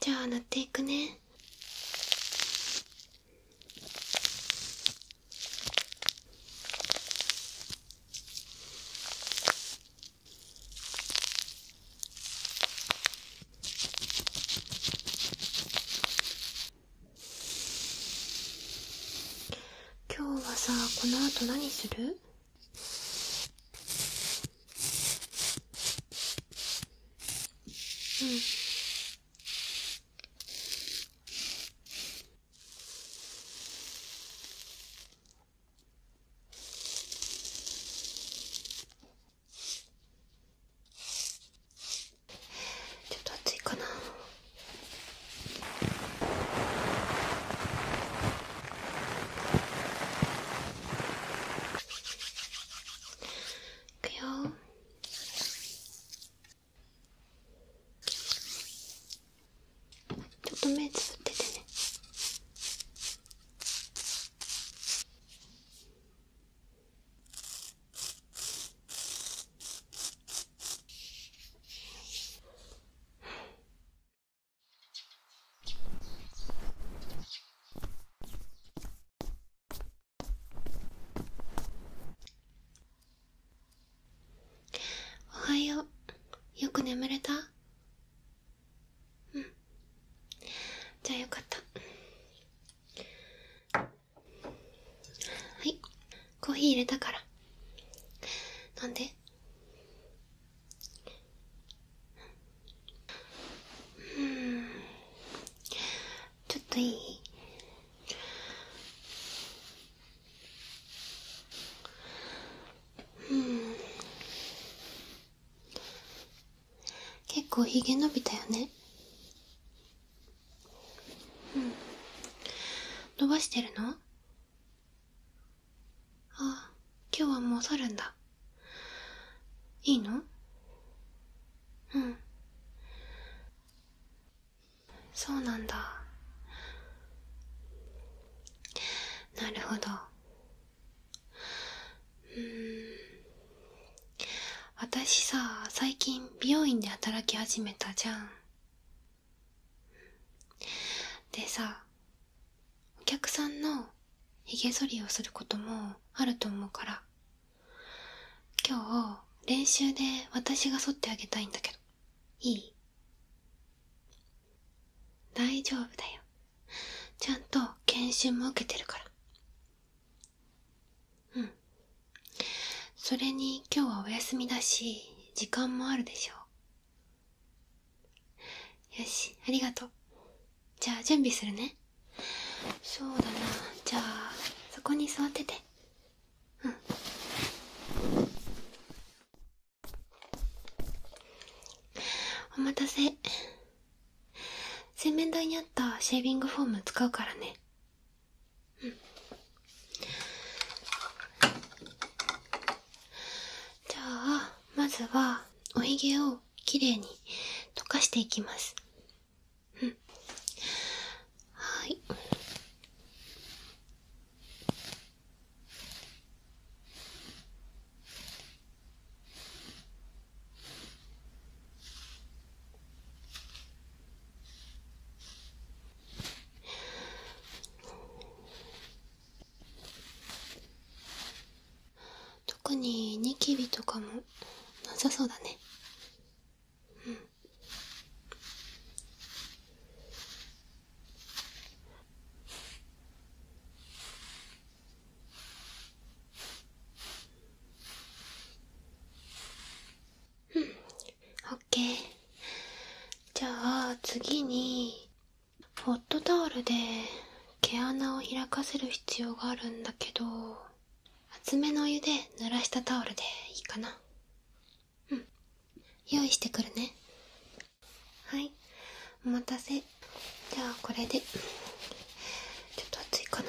じゃあ塗っていくね今日はさこの後何するうん。ちょっと暑いかな。くよちょっと目つぶっててねおはようよく眠れたうんじゃあよかったはいコーヒー入れたから飲んでうんちょっといいうん結構ひげ伸びたよねうん伸ばしてるのあ今日はもう去るんだいいのうんそうなんだなるほどうん私さ最近美容院で働き始めたじゃんでさお客さんのひげ剃りをすることもあると思うから今日練習で私が剃ってあげたいんだけどいい大丈夫だよちゃんと研修も受けてるからうんそれに今日はお休みだし時間もあるでしょうよしありがとうじゃあ準備するねそうだなじゃあそこに座っててうんお待たせ洗面台にあったシェービングフォーム使うからねうんじゃあまずはおひげをきれいに溶かしていきますうんはい特にニキビとかもなさそうだねうんうんオッケーじゃあ次にホットタオルで毛穴を開かせる必要があるんだけど厚めのお湯で濡らしたタオルでいいかなうん用意してくるねはいお待たせじゃあこれでちょっと熱いかな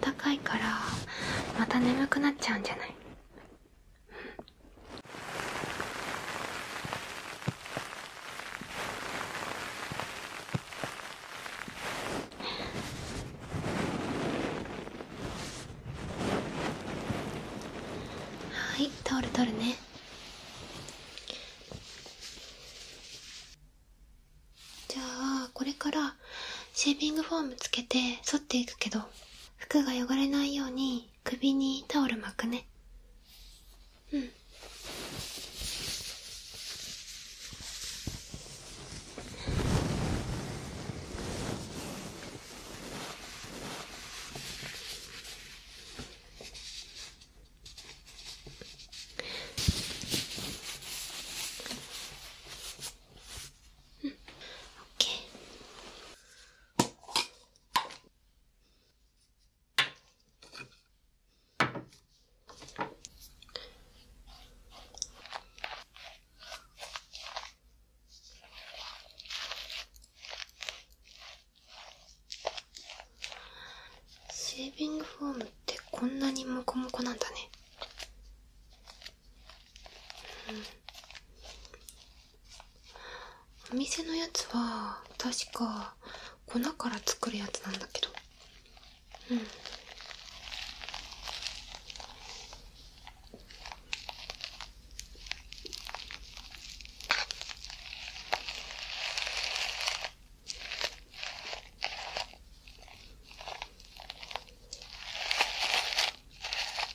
暖かいからまた眠くなっちゃうんじゃない、はいタオ取るねじゃあこれからシェービングフォームつけて剃っていくけど服が汚れないように首にタオル巻くねうんうん、オッケーシセービングフォームってこんなにモコモコなんだねうんお店のやつは確か粉から作るやつなんだけどうんす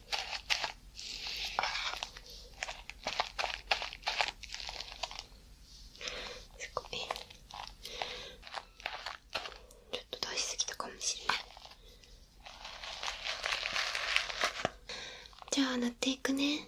ごいちょっと出しすぎたかもしれないじゃあ塗っていくね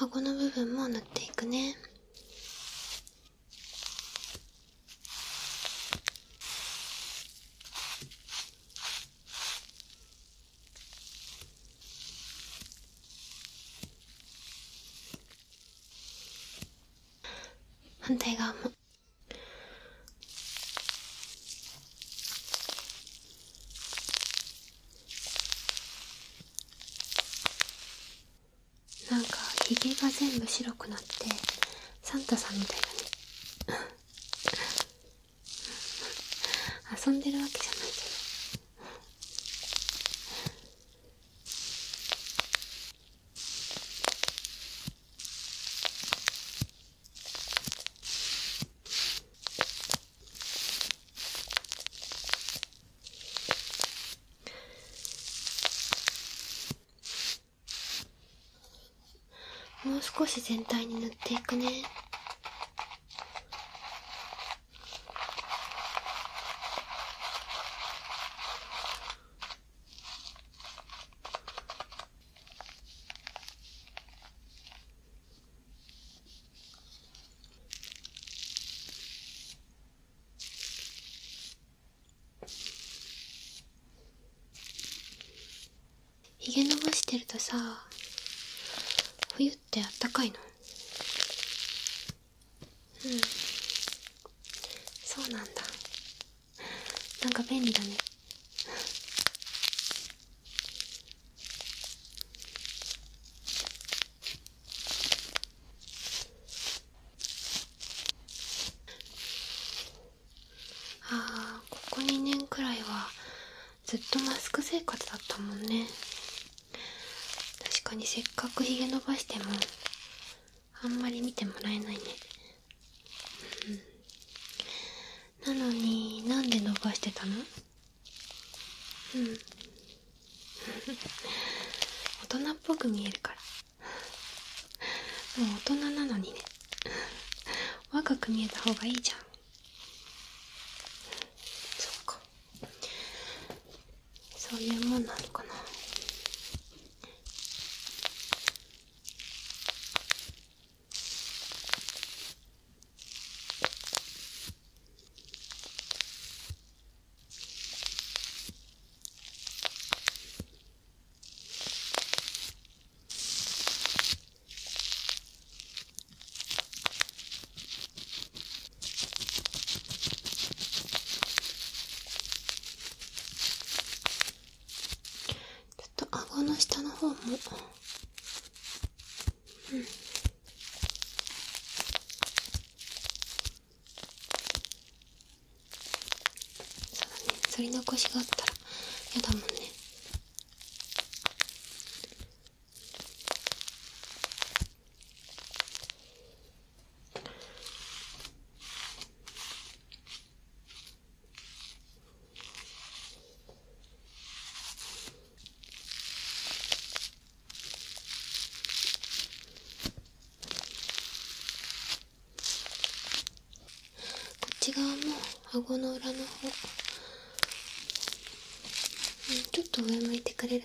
顎の部分も塗っていくね反対側も。なんかひげが全部白くなってサンタさんみたいだね遊んでるわけじゃないけどもう少し全体に塗っていくねひげ伸ばしてるとさ冬ってあったかいのうんそうなんだなんか便利だねああここ2年くらいはずっとマスク生活だったもんね確かにせっかくひげ伸ばしてもあんまり見てもらえないね、なのになんで伸ばしてたのうん大人っぽく見えるからもう大人なのにね若く見えた方がいいじゃんそっかそういうもんなのかなちょっと顎の下の方もうんそうだね反り残しがあったらやだもんねこっち側も顎の裏の方、ちょっと上向いてくれる、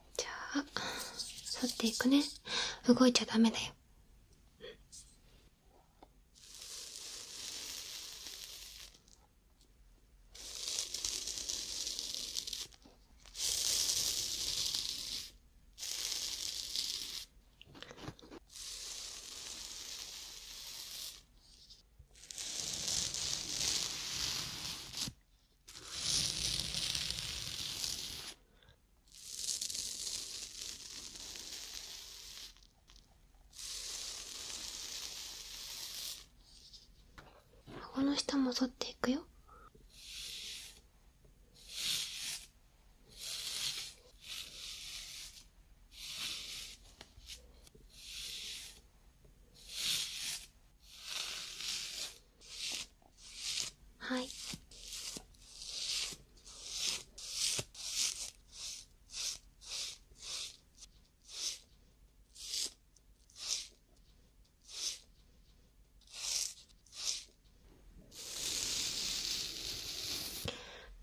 じゃあ沿っていくね動いちゃダメだよ顎の下も剃っていくよはい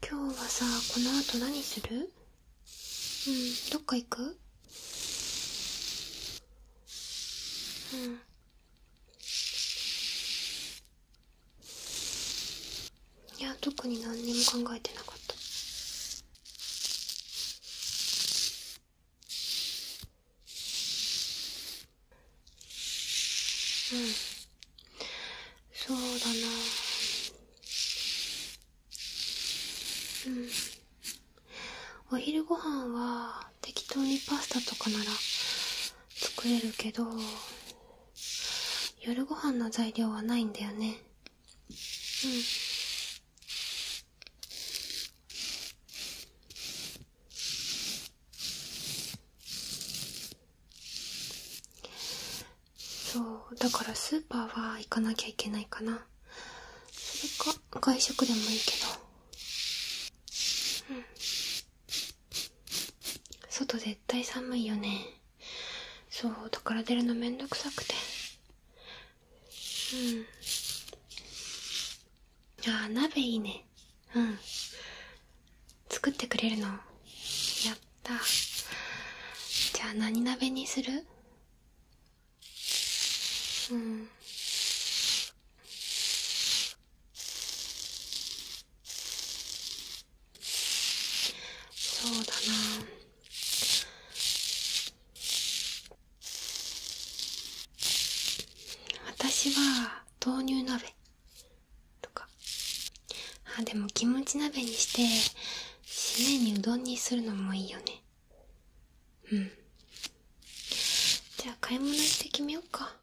今日はさこの後何するうんどっか行くうんいや特に何にも考えてなかったうんそうだなうんお昼ご飯は適当にパスタとかなら作れるけど夜ご飯の材料はないんだよねうんそうだからスーパーは行かなきゃいけないかなそれか外食でもいいけど外絶対寒いよねそうだから出るのめんどくさくてうんああ鍋いいねうん作ってくれるのやったじゃあ何鍋にするうんそうだな私は豆乳鍋とかあでもキムチ鍋にして締めにうどんにするのもいいよねうんじゃあ買い物して決めようか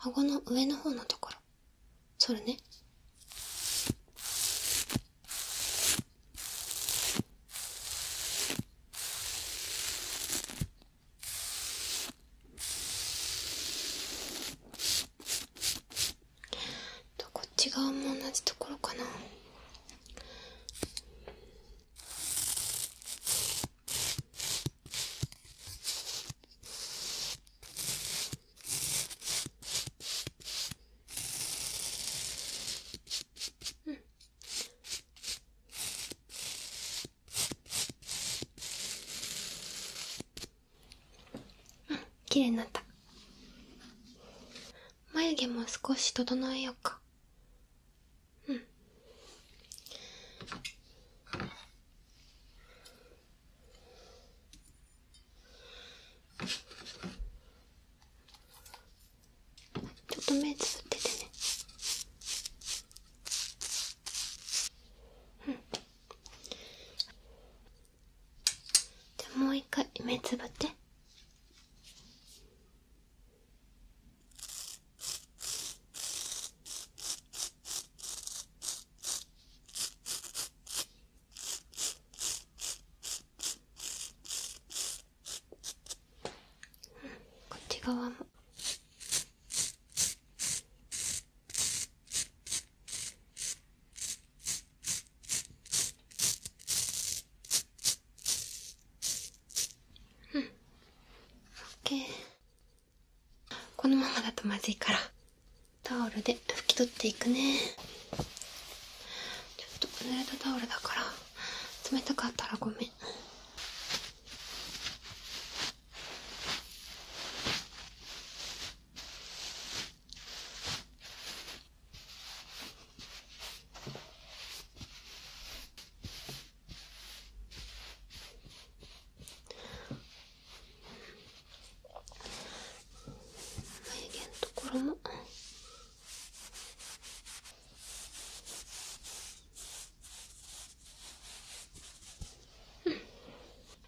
顎の上の方のところそれねとこっち側も同じところかなうんうん綺麗になった眉毛も少し整えようかうんちょっと目つぶっててねうんじゃあもう一回目つぶってこっち側も。うん OK このままだとまずいからタオルで拭き取っていくねちょっと濡れたタオルだから冷たかったらごめん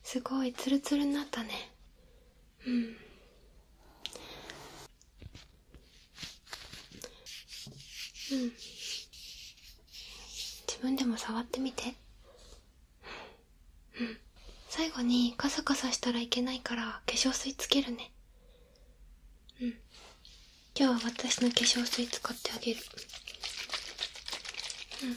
すごいツルツルになったねうん、うん、自分でも触ってみてうん最後にカサカサしたらいけないから化粧水つけるねうん今日は私の化粧水使ってあげるうん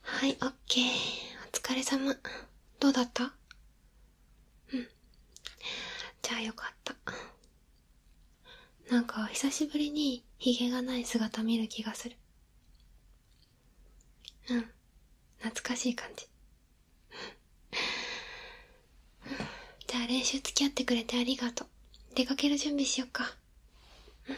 はい、オッケー。お疲れ様。どうだったうんじゃあよかったなんか久しぶりにヒゲがない姿見る気がするうん懐かしい感じじゃあ練習付き合ってくれてありがとう出かける準備しよっかうん